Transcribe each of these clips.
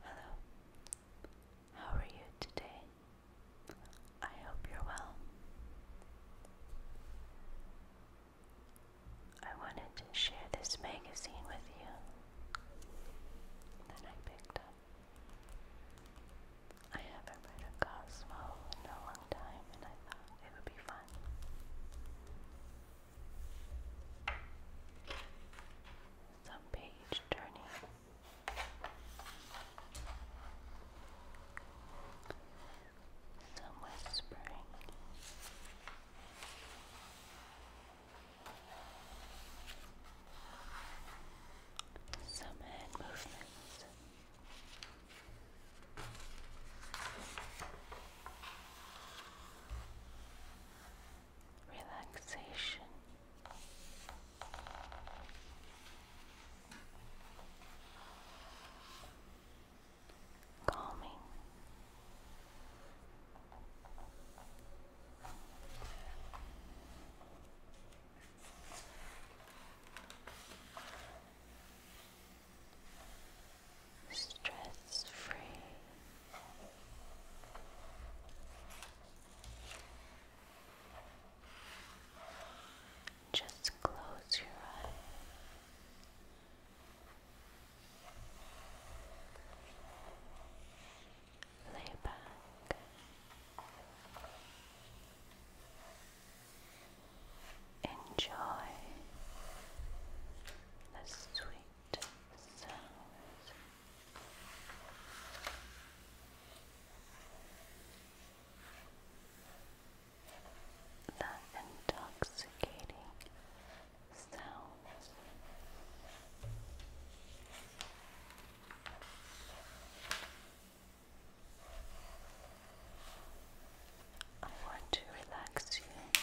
Hello, how are you today? I hope you're well. I wanted to share this magazine with you that I picked up. I haven't read a Cosmo in a long time and I thought it would be fun. Some page turning. Some whispering. Some head movements relaxation. Calming stress free. Just close your eyes. Lay back. Enjoy the sweet sounds. intoxicating sounds. I want to relax you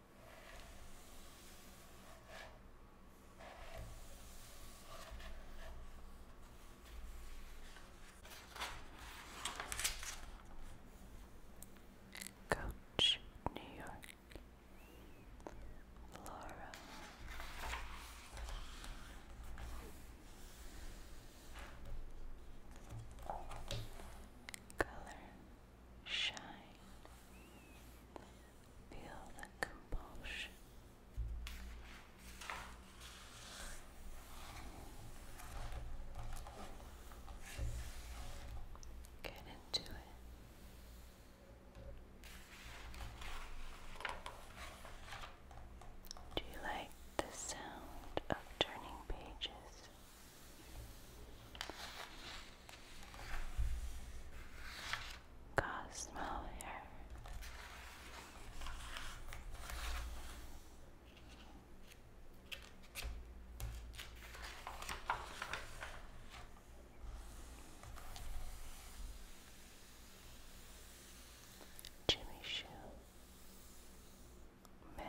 Coach, New York. Laura. Color shine. Feel the compulsion. Get into it. Do you like the sound of turning pages? Cosmo hair. Jimmy Shoe Man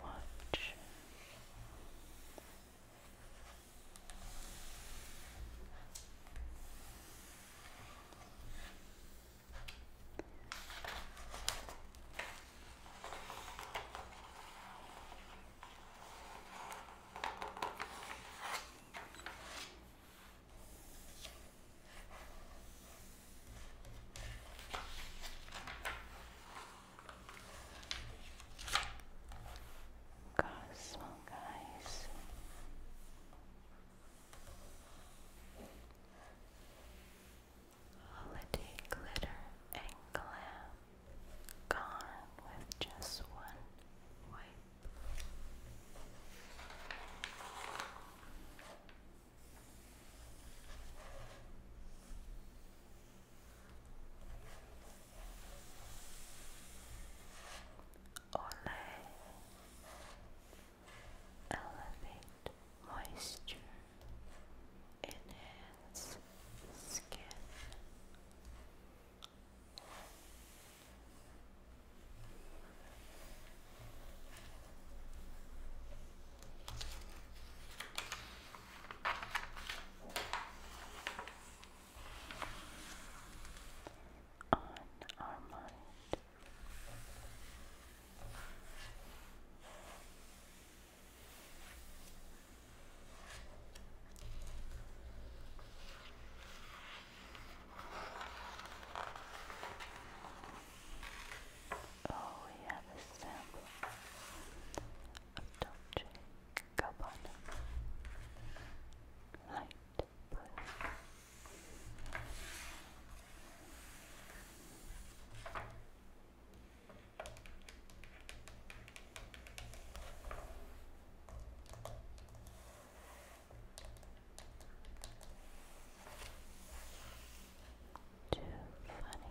Watch Cosmo guys. Holiday glitter and glam gone with just one wipe. Olay Elevate Moisture Enhance Skin on our mind. Oh, we have a sample of Dolce go on. Light blue. Too funny.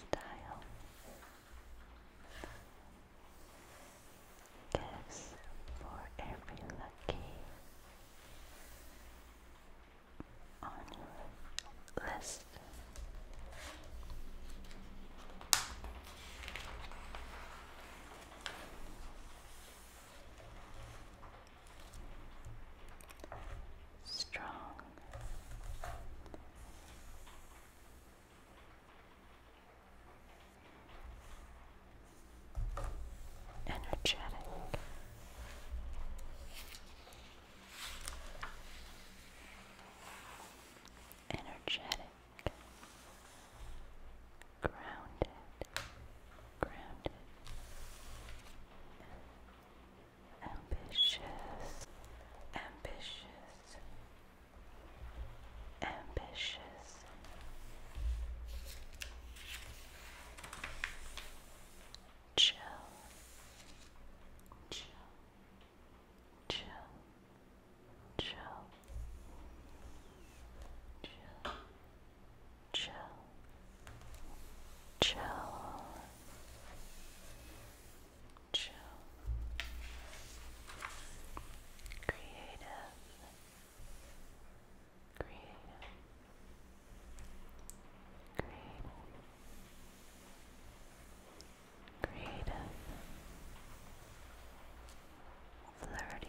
style guess for every lucky on your list. Strong energetic. Energetic, grounded, grounded, ambitious, ambitious, ambitious. Chill, chill, chill, chill, chill, chill, chill chill, creative, creative, creative, creative, flirty, flirty.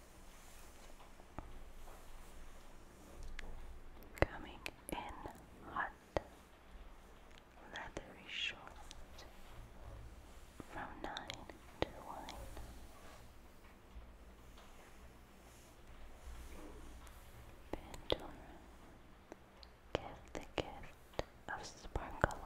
Coming in hot, leathery short, from nine to one. Pandora, give the gift of sparkle.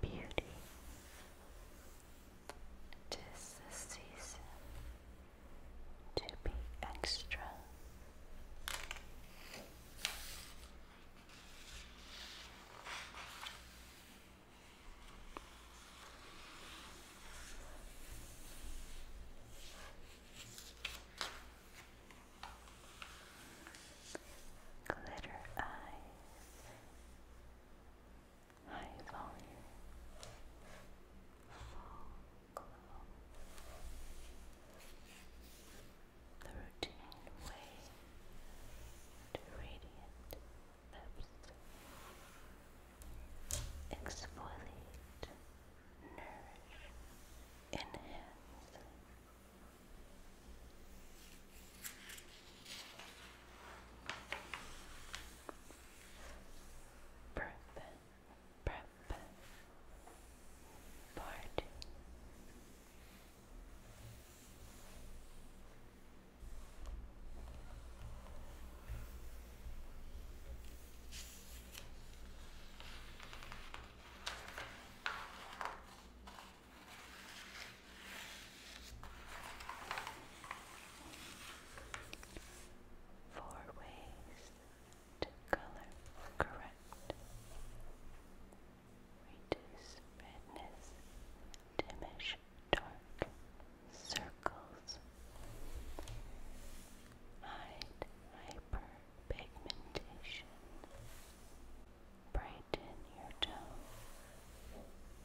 Beauty. Tis to be extra. Glitter eyes high volume folklore. The routine way to radiant lips. Exfoliate, nourish, enhance. Bourbon, bourbon, party. Four ways to color correct. Reduce redness, diminish dark circles. Hide hyperpigmentation. Brighten your tone.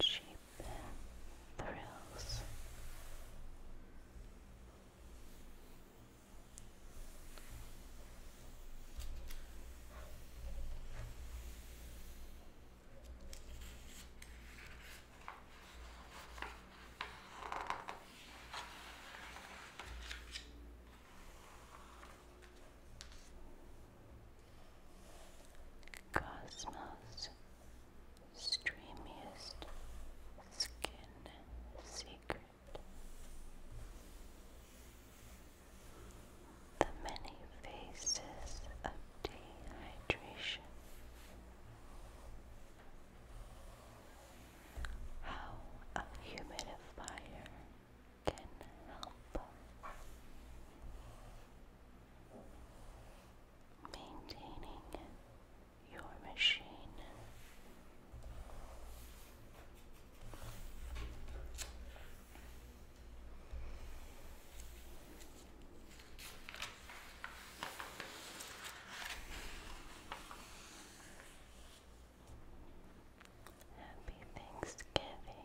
cheap thrills. Cosmos streamiest skin secret. The many faces of dehydration. How a humidifier can help maintaining your machine. Happy Thanksgiving.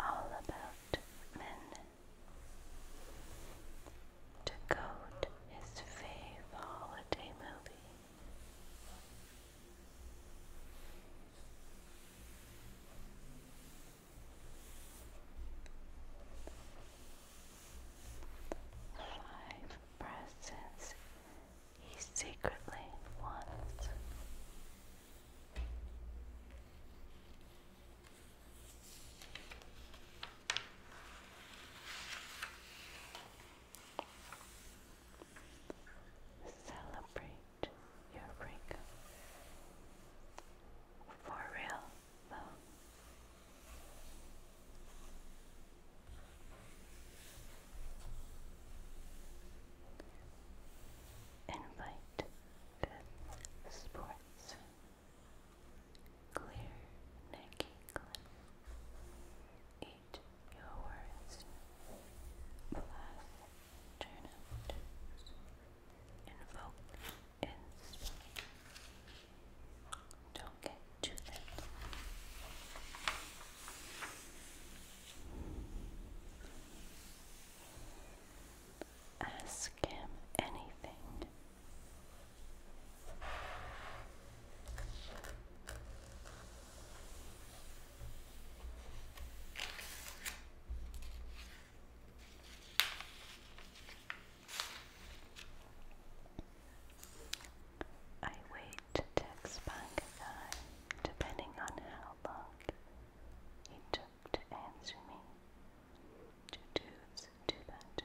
All about men to coat his fave holiday movie. Five presents he secretly wants. Celebrate your breakup. For real, though. Invite good sports Clear neck Eat your words. Blast turnips. Invoke insight. Don't get too thin. Ask him anything. I wait to text back a depending on how long it took to answer me to do, do that.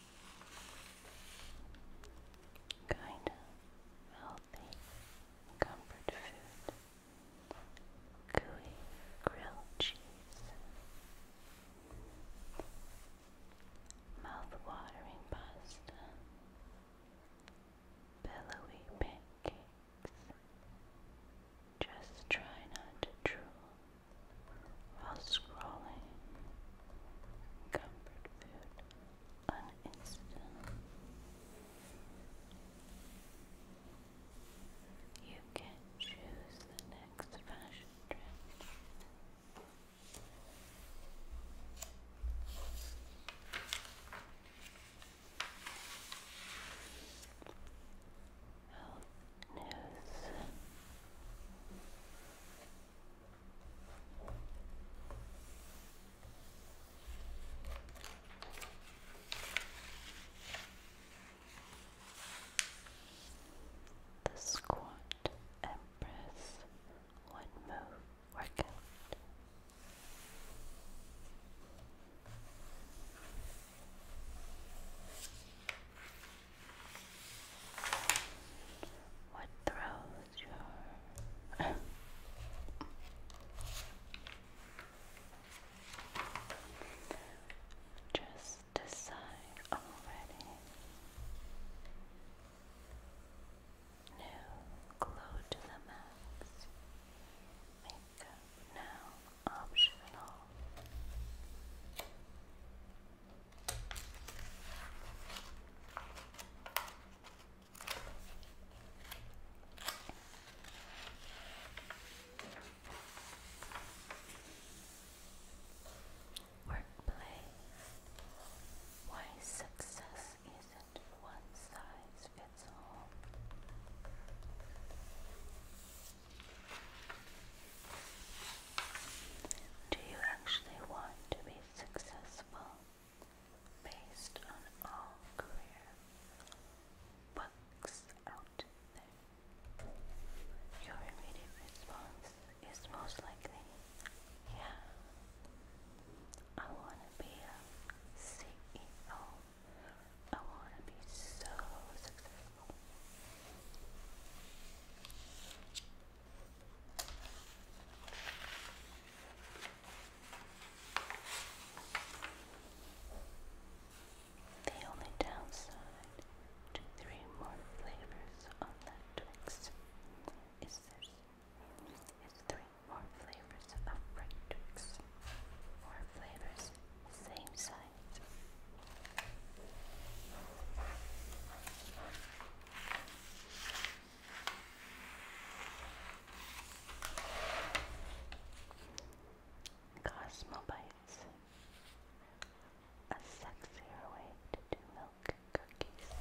kind of healthy comfort food. Gooey grilled cheese. Mouth-watering pasta. Billowy pancakes. Just try not to drool while scrolling comfort food on Instagram. You can choose the next fashion trend. Health news. The squad, and press one move workout. What throws your just decide already. New glow to the max. Makeup now optional. Workplace. Why success isn't one size fits all. Do you actually want to be successful based on all career books out there? Your immediate response is most likely, yeah, I want to be a CEO. I want to be so successful. The only downside to three more flavors on Twix is this. Is three more flavors of Twix. More flavors, same size Cosmobites, a sexier way to do milk cookies.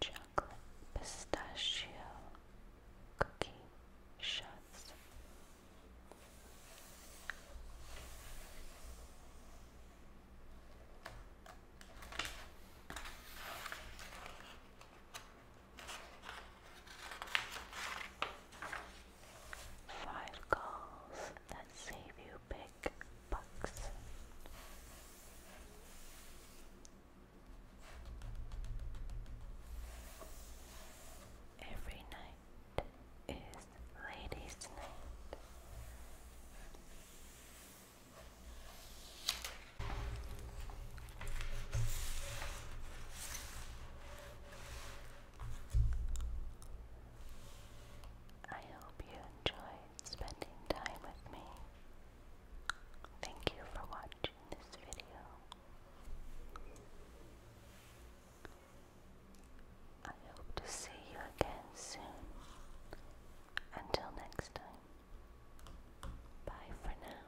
Chocolate pistachio cookie shuts. Five calls that save you big bucks. Every night is ladies' night. I hope you enjoyed spending time with me. Thank you for watching watching this video. I hope to see you again soon. Until next time, bye for now.